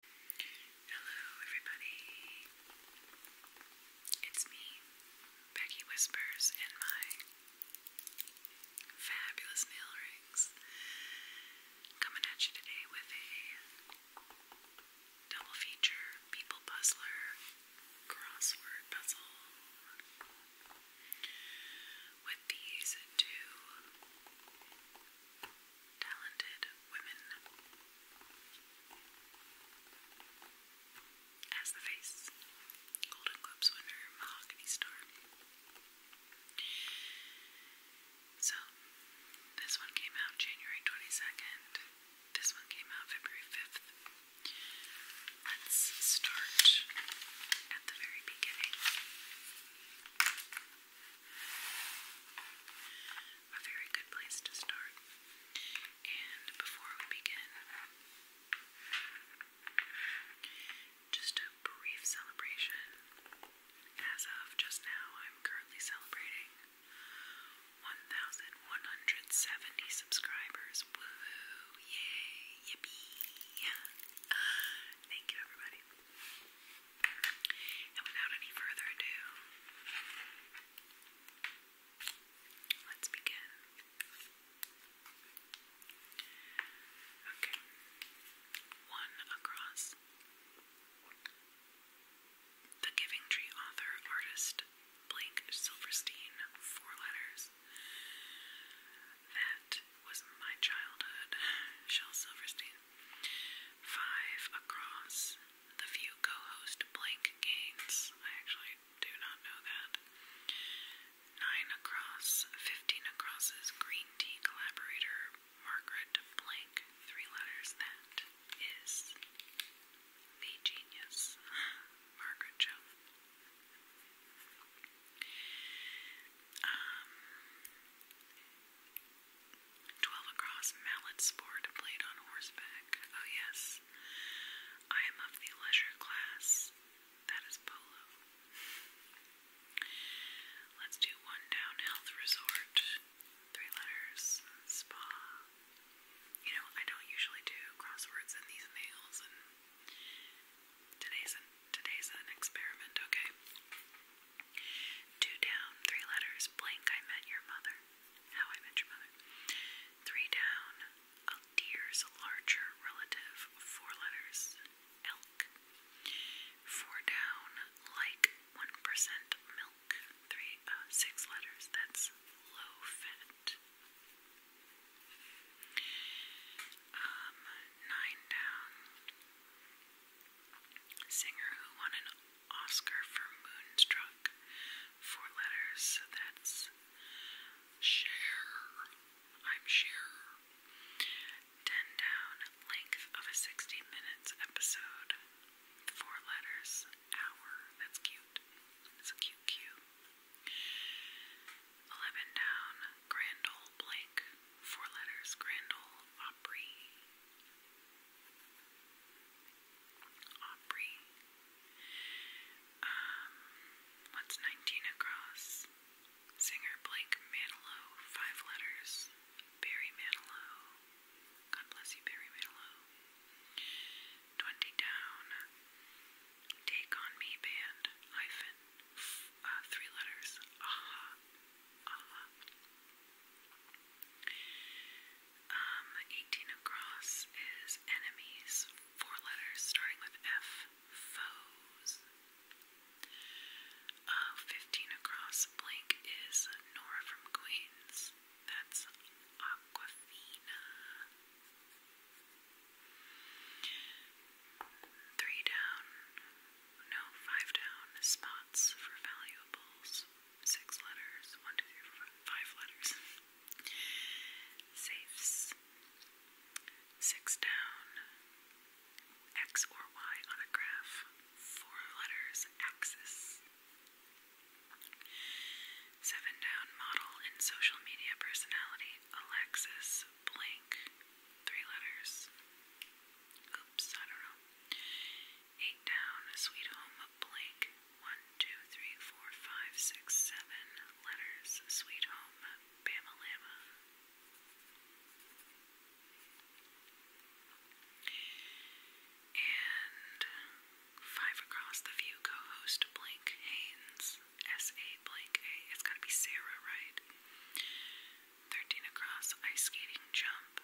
Hello, everybody. It's me, Becky Whispers, and my fabulous nail rings. Coming at you today with a double feature people puzzler crossword puzzle with these two talented women as the face, Golden Globes winner, Mahogany Star. So, this one came out January 22nd, this one came out February 5th. Let's start at the very beginning a very good place to start. And before we begin, just a brief celebration. As of just now, I'm currently celebrating 1,170 subscribers. Woohoo! Yay! Yippee! Thank you, everybody. And without any further ado, let's begin. Okay. One across. The Giving Tree author, artist Blake Silverstein, four letters. That was my childhood. Shel Silverstein Five across. The few co-host blank gains. I actually do not know that. Nine across. Fifteen across is green tea collaborator Margaret Blank. Three letters. That is the genius Margaret Jo. Um, Twelve across, mallet sport played on horseback. Oh, yes. I am of the leisure class. That is polo. Let's do one down health resort. Three letters. Spa. You know, I don't usually do crosswords and these mails, and today's today's an experiment, okay? Two down, three letters, blank, I met your mother. How I met your mother. Three down, a deer's larger relative, four letters, elk. Four down, like 1% milk, three, uh, six letters, that's low fat. Um, nine down, Singer who won an Oscar for Moonstruck. Four letters, that's share. I'm sure. Ten down, length of a 60 minutes episode. Four letters, hour. That's cute. That's a cute cue. Eleven down, Grand Ole Four letters, Grand Opry. Aubrey. Um, what's 19 across? Singer Blake Manilow, five letters. Barry Manilow. God bless you, Barry Manilow. 20 down. Take on Me Band, hyphen, uh, three letters. Aha. Um, 18 across is enemies, four letters starting with F, foes. Uh, 15 across blank is Nora from Queens. That's Aquafina. Three down, no, five down spots for valuables. Six letters. One, two, three, four, five letters. Safes. Six down. X or Y on a graph. Four letters. Axis. Seven down. Model in social media personality. Alexis. Blink three letters. Oops, I don't know. Eight down, sweet home, blank. One, two, three, four, five, six, seven letters. Sweet home, Bama Lama. And five across the view, co-host blank Haynes. S A blank A. It's to be Sarah, right? 13 across ice skating jump.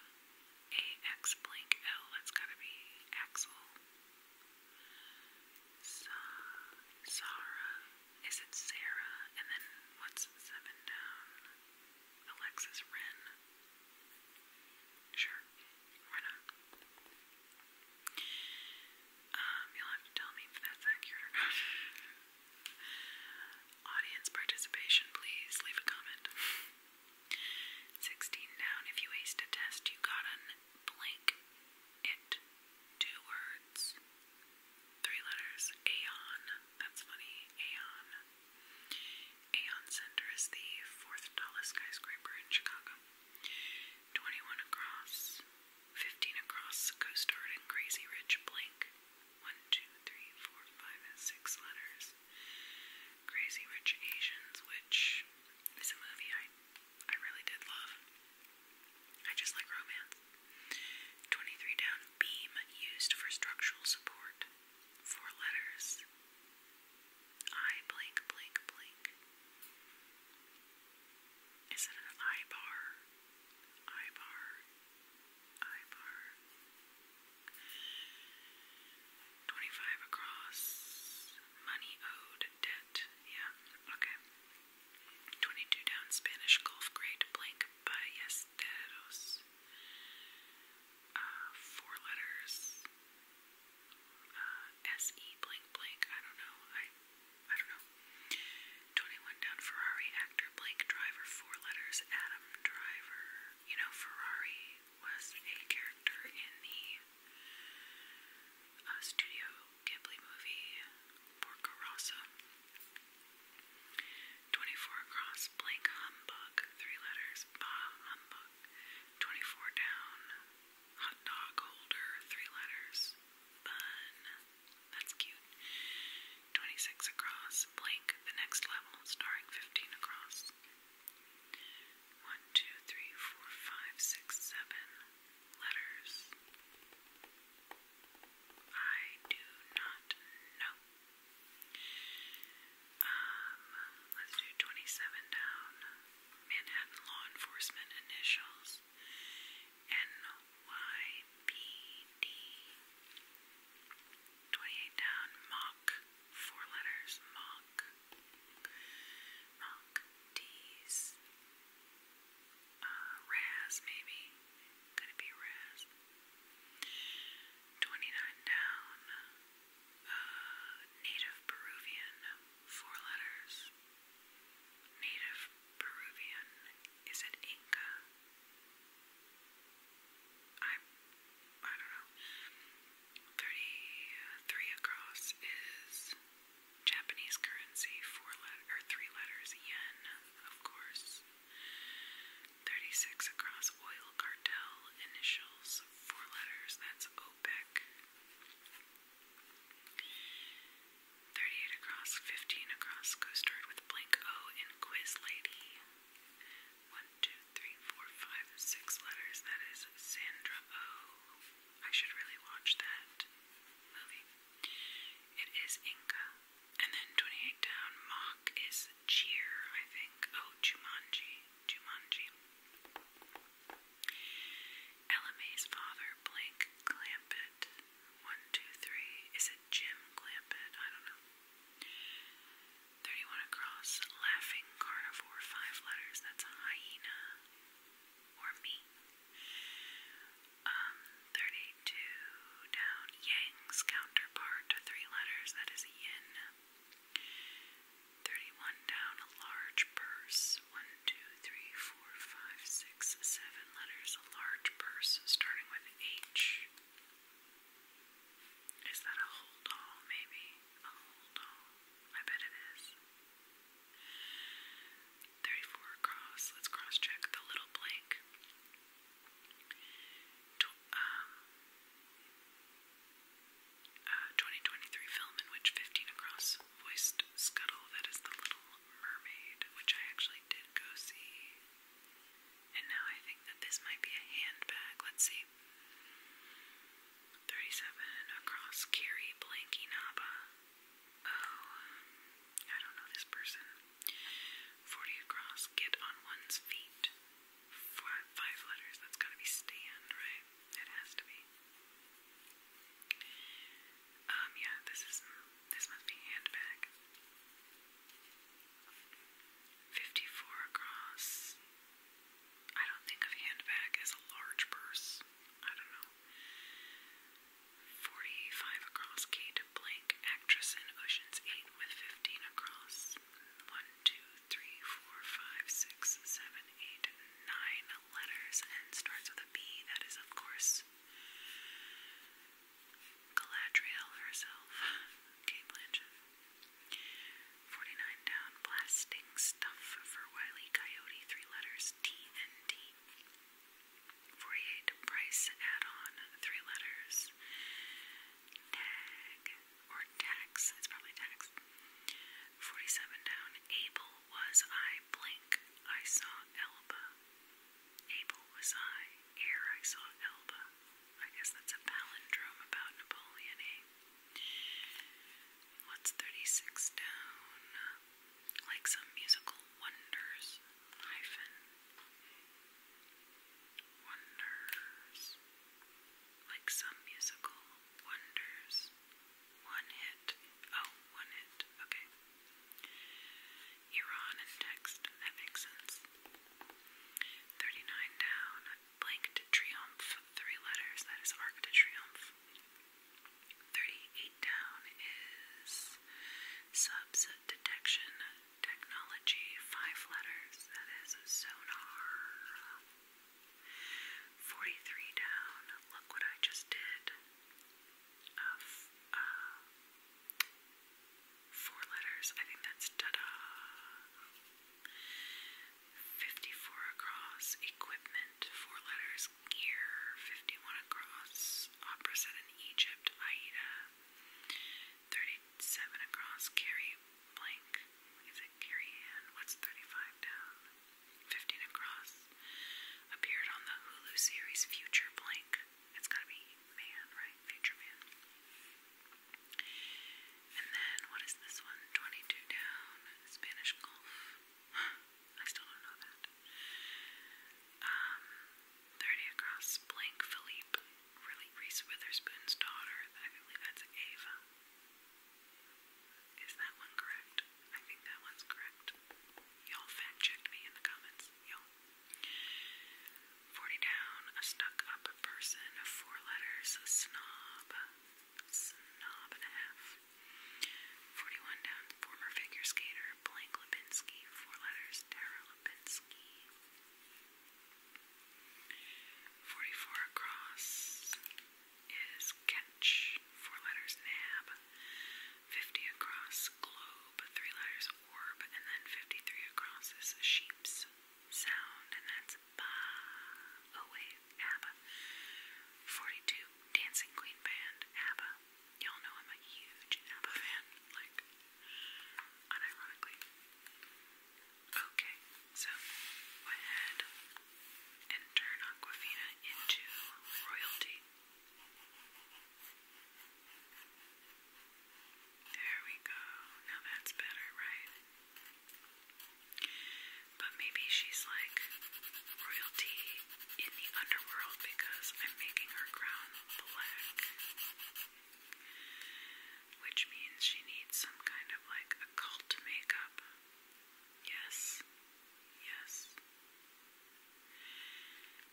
AX blank L, that's gotta be Axel. Sa Is it Sarah? And then what's seven down? Alexis Wren. Sure, why not? Um, you'll have to tell me if that's accurate or not. Audience participation, please leave a comment. 16 down. If you aced a test, you got an blank. It. Two words. Three letters. Aeon. That's funny. Aeon. Aeon Center is the fourth tallest skyscraper in Chicago. 21 across. 15 across. Coast Guard and Crazy Rich blank one, two, three, four, five, letters. Crazy Rich Asians, which is a movie I I really did love. I just like romance. 23 down beam used for structural support. Four letters. I blank blank blank. Is it an eye bar? Eye bar eye bar. 25 across. Money owed. Debt. Yeah. Okay. 22 down. Spanish Gulf Great Blank Ballesteros. Uh, four letters. Uh, S E blank blank. I don't know. I I don't know. 21 down Ferrari actor Blake Driver, four letters Adam Driver. You know, Ferrari was a character in the uh, Studio Ghibli movie Porco Rosso. 24 across Blank Humbug, three letters Bah Humbug. 24 down Hot Dog Holder, three letters Bun. That's cute. 26 across. Blank, the next level, starring 15 across. 1, 2, 3, 4, 5, 6, 7 letters. I do not know. Um, let's do 27 down. Manhattan Law Enforcement Initials. NYPD. 28 down, mock, four letters, mock, mock, D's, uh, Raz maybe, could it be Raz? 29 down, uh, native Peruvian, four letters, native Peruvian, is it Inca? I'm, I i do not know, 33 across is Japanese currency, four letters or three letters, yen, of course. 36 across oil cartel initials, four letters, that's OPEC. 38 across, 15 across. Go start with blank O in Quiz Lady. 1, 2, 3, 4, 5, 6 letters. That is Sandra O. I should really watch that movie. It is Inca. And then 28 down, mock is cheer, I think. Oh, Jumanji. Jumanji. Ella father, blank Clampett. One, two, three. Is it Jim Clampett? I don't know. 31 across. Laughing carnivore. Five letters. That's a hyena. Or me. Um, 32 down. Yang's counterpart. Three letters. That is yin. 31 down. A large purse. 1, 2, 3, 4, 5, 6, 7, seven letters, a large purse starting with H. Is that a whole doll, maybe? A whole doll. I bet it is. 34 across. Let's cross check the little blank. 2023 um, uh, film in which 15 across voiced Scuttle, that is the little Mermaid, which I actually did go see. And now I think that this might be a handbag. Let's see. 37 across carry Blanky Naba. Oh, I don't know this person. 40 across, get on one's feet. Five, five letters, that's gotta be stand, right? It has to be. Um, yeah, this is this must be handbag. 54 across. I don't think of handbag as a large purse. I don't know. 45 across. Kate Blank, actress in Ocean's 8 with 15 across. 1, 2, 3, 4, 5, 6, 7, 8, 9 letters and starts with a B. That is, of course, Galadriel herself, Kate Blanchett. 49 down, blasting stuff for Wiley Coyote, three letters, TNT. 48 price add-on, three letters, tag, or tax, it's probably tax. 47 down, able was I blank, I saw Elba. Able was I, ere I saw Elba. I guess that's a palindrome about Napoleon, eh? What's 36 down? Like some musical wonders, hyphen. Wonders. Like some musical wonders. One hit. Oh, one hit. Okay. Iran in text, that makes sense. 39 down, blank de three letters, that is Arc de 38 down is subset detection technology, five letters, that is sonar. 43 down, look what I just did. Uh, four letters. I think that's da 54 across, equipment, four letters, gear, 51 across, opera set in Egypt, Aida, 37 across, carry blank, is it carry in? What's 35 down? 15 across, Appeared on the Hulu series Future Blank. It's gotta be Man, right? Future Man. And then, what is this one? 22 Down, Spanish Golf. I still don't know that. Um, 30 Across, Blank Philippe, really Reese Witherspoon's daughter. I believe that's Ava. Is that one correct? I think that one's correct. Y'all fact checked me in the comments. Y'all. 40 down, a stuck up person, four letters, a snob, snob and a half. 41 down, former figure skater, blank Lipinski, four letters, Tara Lipinski. 44 across is catch, four letters, nab. 50 across this globe, three letters orb, and then 53 across is sheep's sound, and that's ba. Oh, wait, ABBA. 42, Dancing Queen Band, ABBA. Y'all know I'm a huge ABBA fan, like, unironically. Okay, so go ahead and turn Aquafina into royalty. There we go. Now that's better, right? But maybe she's like royalty in the underworld because I'm making her ground black. Which means she needs some kind of like occult makeup. Yes. Yes.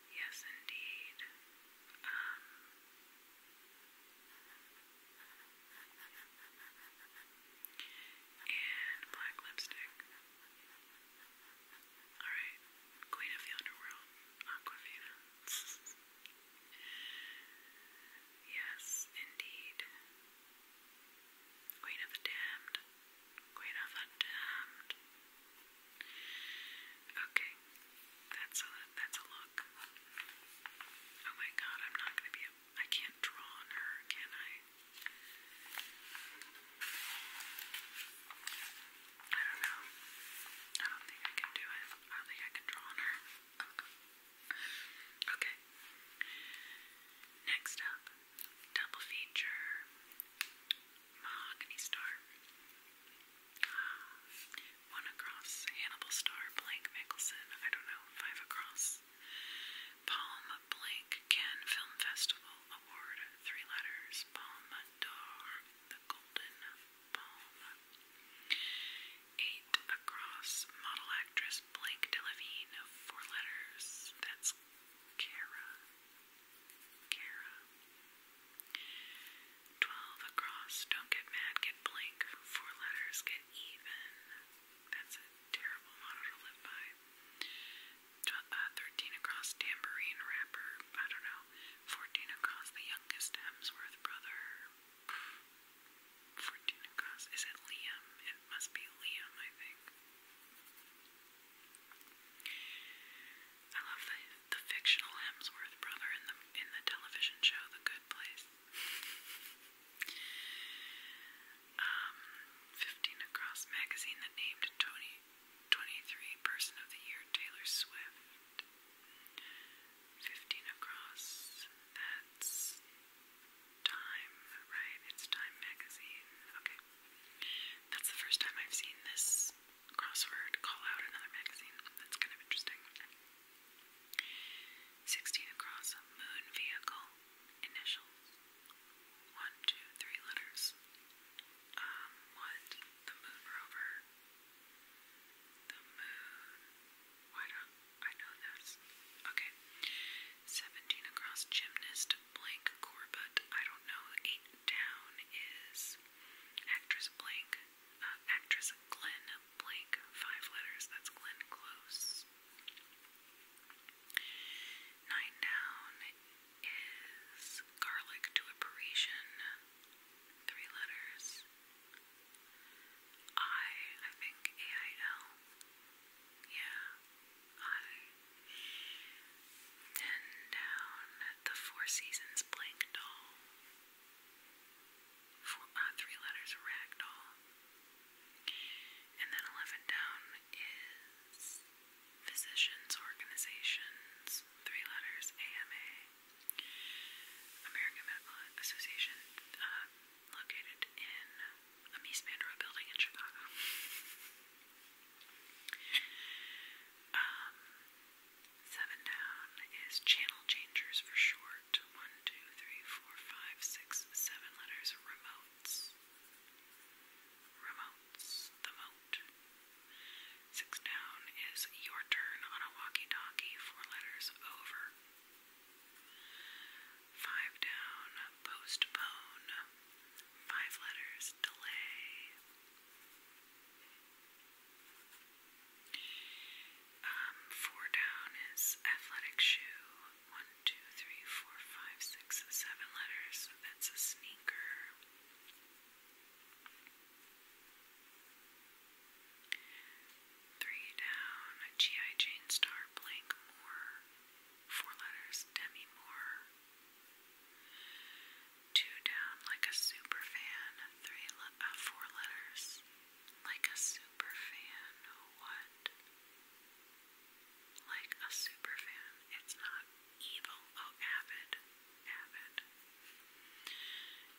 Yes, indeed. Um, and black lipstick. Alright, Queen of the Underworld, Aquafina. yes, indeed. Queen of the Damned, Queen of Untamed. Okay, that's a that's a look. Oh my god, I'm not gonna be. A, I can't draw on her, can I? I don't know. I don't think I can do it. I don't think I can draw on her. Okay. Next up, double feature mahogany star. One across, Hannibal star, blank Mickelson, I don't know, five across. Palm blank Cannes Film Festival Award, three letters, Palme d'Or, the Golden Palm. Eight across, model actress blank Delavine, four letters, that's Cara. Kara. Twelve across. Don't get mad, get blank. Four letters, get even. That's a terrible motto to live by. Uh, thirteen across, tambourine rapper. I don't know. Fourteen across, the youngest Hemsworth brother. Fourteen across. Is it Liam? It must be Liam, I think. I love the, the fictional Hemsworth brother in the in the television show The Good Place. Um, 15 Across magazine that named 20, 23 Person of the Year Taylor Swift. 15 Across, that's Time, right? It's Time magazine. Okay. That's the first time I've seen this crossword call out another magazine. That's kind of interesting. 16 across, moon vehicle, initials. One, two, three letters. Um, what? The moon rover. The moon. Why don't I know this? Okay. 17 across, gymnast, blank Corbett. I don't know. Eight down is actress blank, uh, actress Glenn blank. Five letters. That's Glenn Close. Nine down is garlic to a Parisian. Three letters. I, I think A I L. Yeah high. Then down the Four Seasons blank doll. Four, uh, three letters ragdoll. And then 11 down is Physicians Organizations, three letters AMA, American Medical Association, uh, located in a Mies building in Chicago. Um, seven down is channel changers for short. One, two, three, four, five, six, seven letters. Remotes. Remotes. The moat. Six down is your turn on a walkie-talkie. Four letters. Over. Five down, postpone. Five letters, delay. Um, four down is athletic shoe. One, two, three, four, five, six, seven letters. that's a sneaker. Three down, G.I. Jane Star Blank Moore. Four letters, Demi Moore. Two down, like a super fan. Three, le uh, four letters, like a super fan. What? Like a super fan. It's not evil. Oh, avid, avid.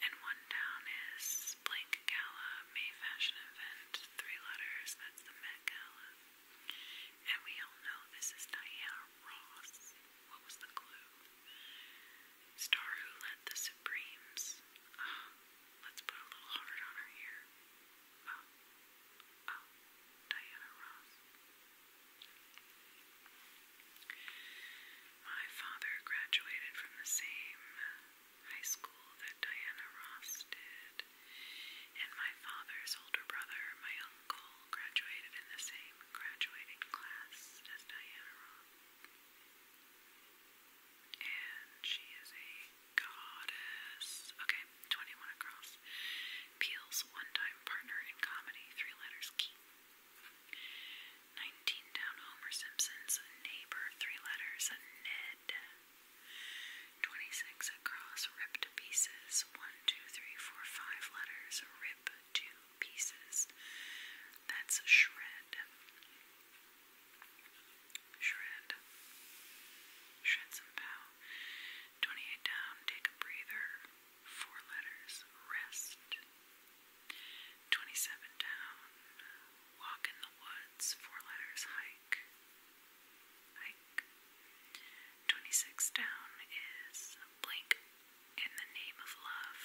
And one down is blank gala, May fashion event. Three letters. That's the Met Gala. And we all know this is Diana Ross. What was the clue? Star who led the Supremes. Oh, let's put a little heart on her here. Oh, ah, oh, ah, Diana Ross. My father graduated from the same high school that Diana Ross did and my father's older brother, my uncle, graduated in the same graduating class as Diana Ross. And she is a goddess. Okay, 21 across. Peel's one time partner in comedy, three letters key. 19 down Homer Simpson's neighbor, three letters Ned. 26 across, rip to pieces. 1, 2, 3, 4, 5 letters, rip to pieces. That's shred. Shred. Shred some pow. 28 down, take a breather. 4 letters, rest. 27 down, walk in the woods. 4 letters, hike. 26 down is Blink in the Name of Love.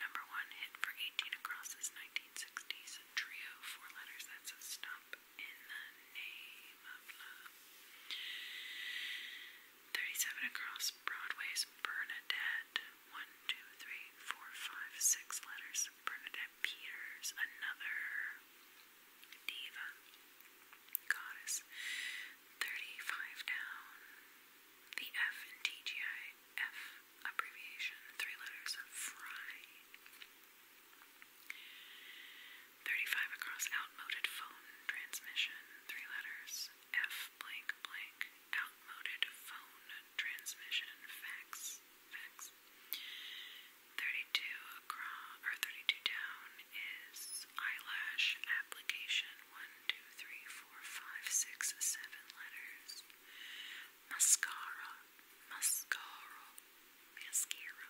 Number one hit for 18 across is 1960s trio, four letters That's a Stop in the Name of Love. 37 across Broadway's Bernadette. One, two, three, four, five, six letters. Bernadette Peters, another Diva, Goddess, 35 down, the F in TGI, F abbreviation, three letters of Fry. 35 across outmoded phone transmission, three letters, F blank blank, outmoded phone transmission, fax. Facts. 32 across, or 32 down is eyelash application. 1, 2, 3, 4, 5, 6, 7 letters. Mascara. Mascara. Mascara.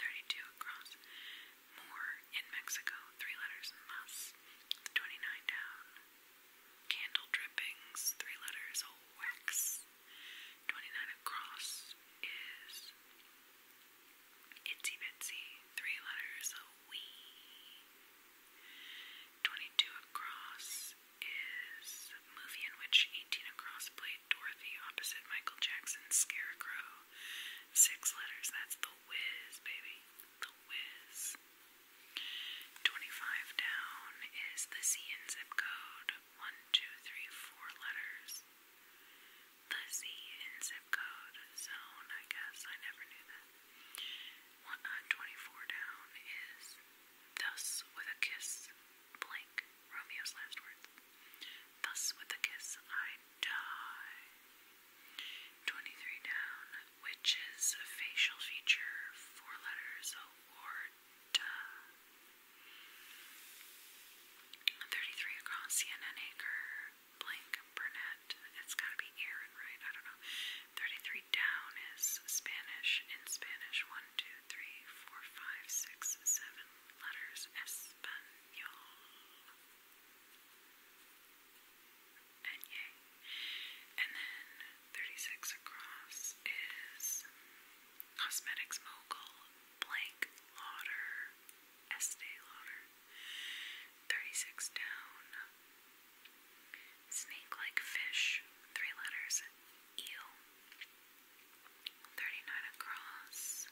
32 across. More in Mexico. Three letters. Must. 29 down. Candle drippings. Three letters. Wax. 29 across is Itsy Bitsy, three letters, a wee. 22 across is a movie in which 18 across played Dorothy opposite Michael Jackson Scarecrow. Six letters, that's the whiz, baby. The whiz. 25 down is the C and zip code one, two, three, four letters. The Z in zip code zone, I guess. I never knew that. One, uh, 24 down is thus with a kiss, blank, Romeo's last words. Thus with a kiss, I die. 23 down, which is a facial feature, four letters, award. 33 across, CNN Acre, Blank, Burnett. It's gotta be Aaron, right? I don't know. 33 down is Spanish. In Spanish, 1, 2, 3, 4, 5, 6, 7 letters. Espanol. And then 36 across is cosmetics mogul, blank lauder, Estee Lauder, 36 down, snake like fish, three letters, eel, 39 across,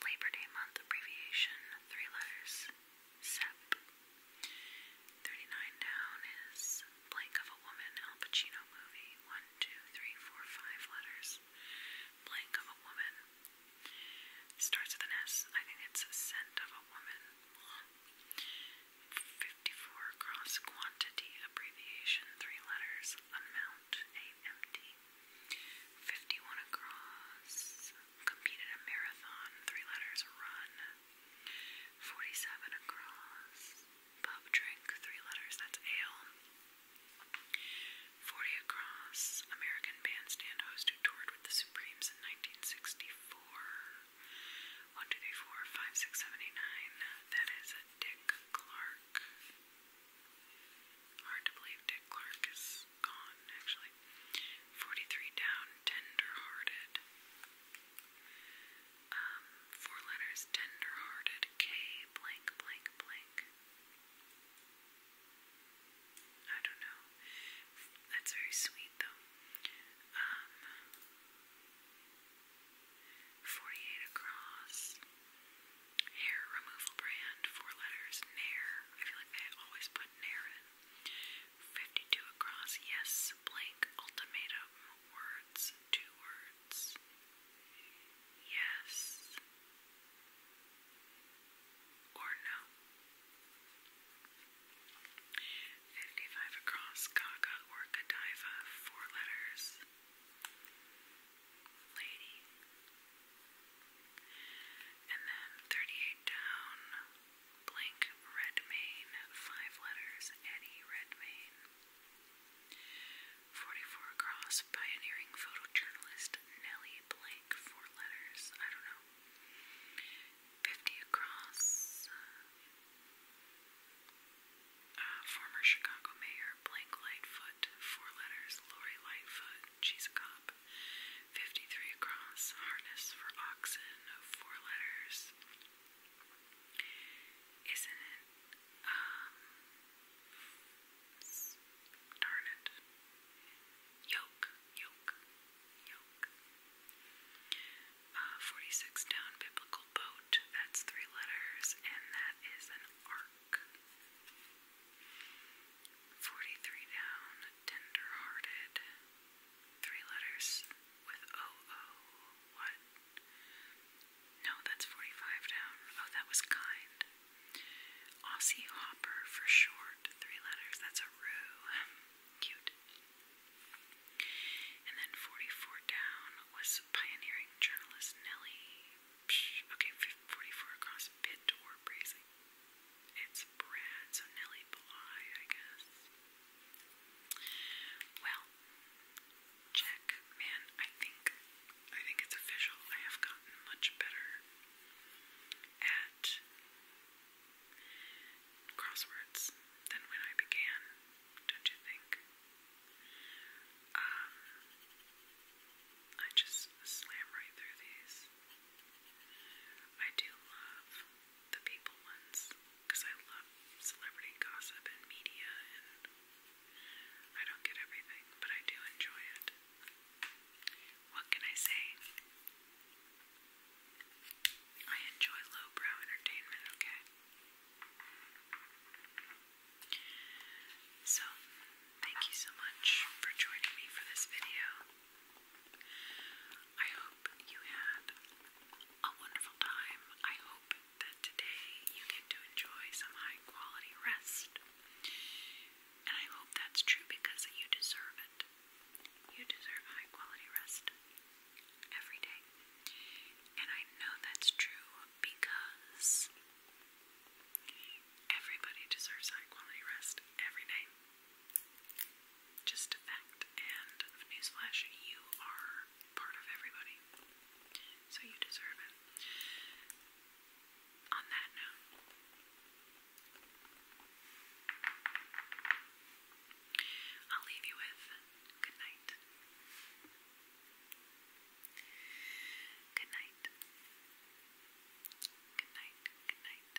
Labor Day month abbreviation, three letters, SEP. 39 down is blank of a woman Al Pacino movie. One, two, three, four, five letters. Blank of a woman. Starts with an S. I think it's a scent of a woman. 54 across, quantity abbreviation, three letters. Amount, empty. 51 across. Competed a marathon, three letters. Run. 47 across pub drink, three letters, that's ale. 40 Across, American bandstand host who toured with the Supremes in 1964. 1, 2, 3, 4, 5, 6, 7, 9. That is Dick Clark. Hard to believe Dick Clark is gone, actually. 43 Down, Tender Hearted four letters, tenderhearted, K blank blank blank. I don't know. That's very sweet though. Um, 48 across. Hair removal brand, four letters, Nair. I feel like they always put Nair in. 52 across, yes, blank ultimatum words, two words. Yes or no. 55 across, Gaga or Godiva, four letters. Lady. And then 38 down, blank Redmayne, five letters, Eddie Redmayne. 44 across, pioneering photojournalist Nellie Blank, four letters, I don't know. 50 across, uh, uh, former Chicago Mayor Blank Lightfoot, four letters, Lori Lightfoot, she's a cop. 53 across, harness for oxen, four letters. Isn't it? darn it. Yoke, yoke, yoke. Uh, 46 down, biblical boat. That's three letters, and that is an ark. 43 down, tender hearted. Three letters with O O. What? No, that's 45 down. Oh, that was kind. Aussie Hopper for short. Three letters. That's a roo. Cute. And then 44 down was pioneering journalist Nellie. Okay, 44 across Pitt or Brazy. It's Brad, so Nellie Bly, I guess. Well, check, man. I think I think it's official. I have gotten much better at crosswords than when I began. Don't you think? Um, I just slam right through these. I do love the people ones because I love celebrity gossip and media, and I don't get everything, but I do enjoy it. What can I say? I enjoy lowbrow entertainment, okay? So, thank you so much for joining me for this video. I hope you had a wonderful time. I hope that today you get to enjoy some high quality rest. And I hope that's true because you deserve it. You deserve high quality rest every day. And I know that's true because everybody deserves high quality rest every day. Just a fact. And newsflash, you are part of everybody. So you deserve it. On that note, I'll leave you with good night. Good night. Good night. Good night.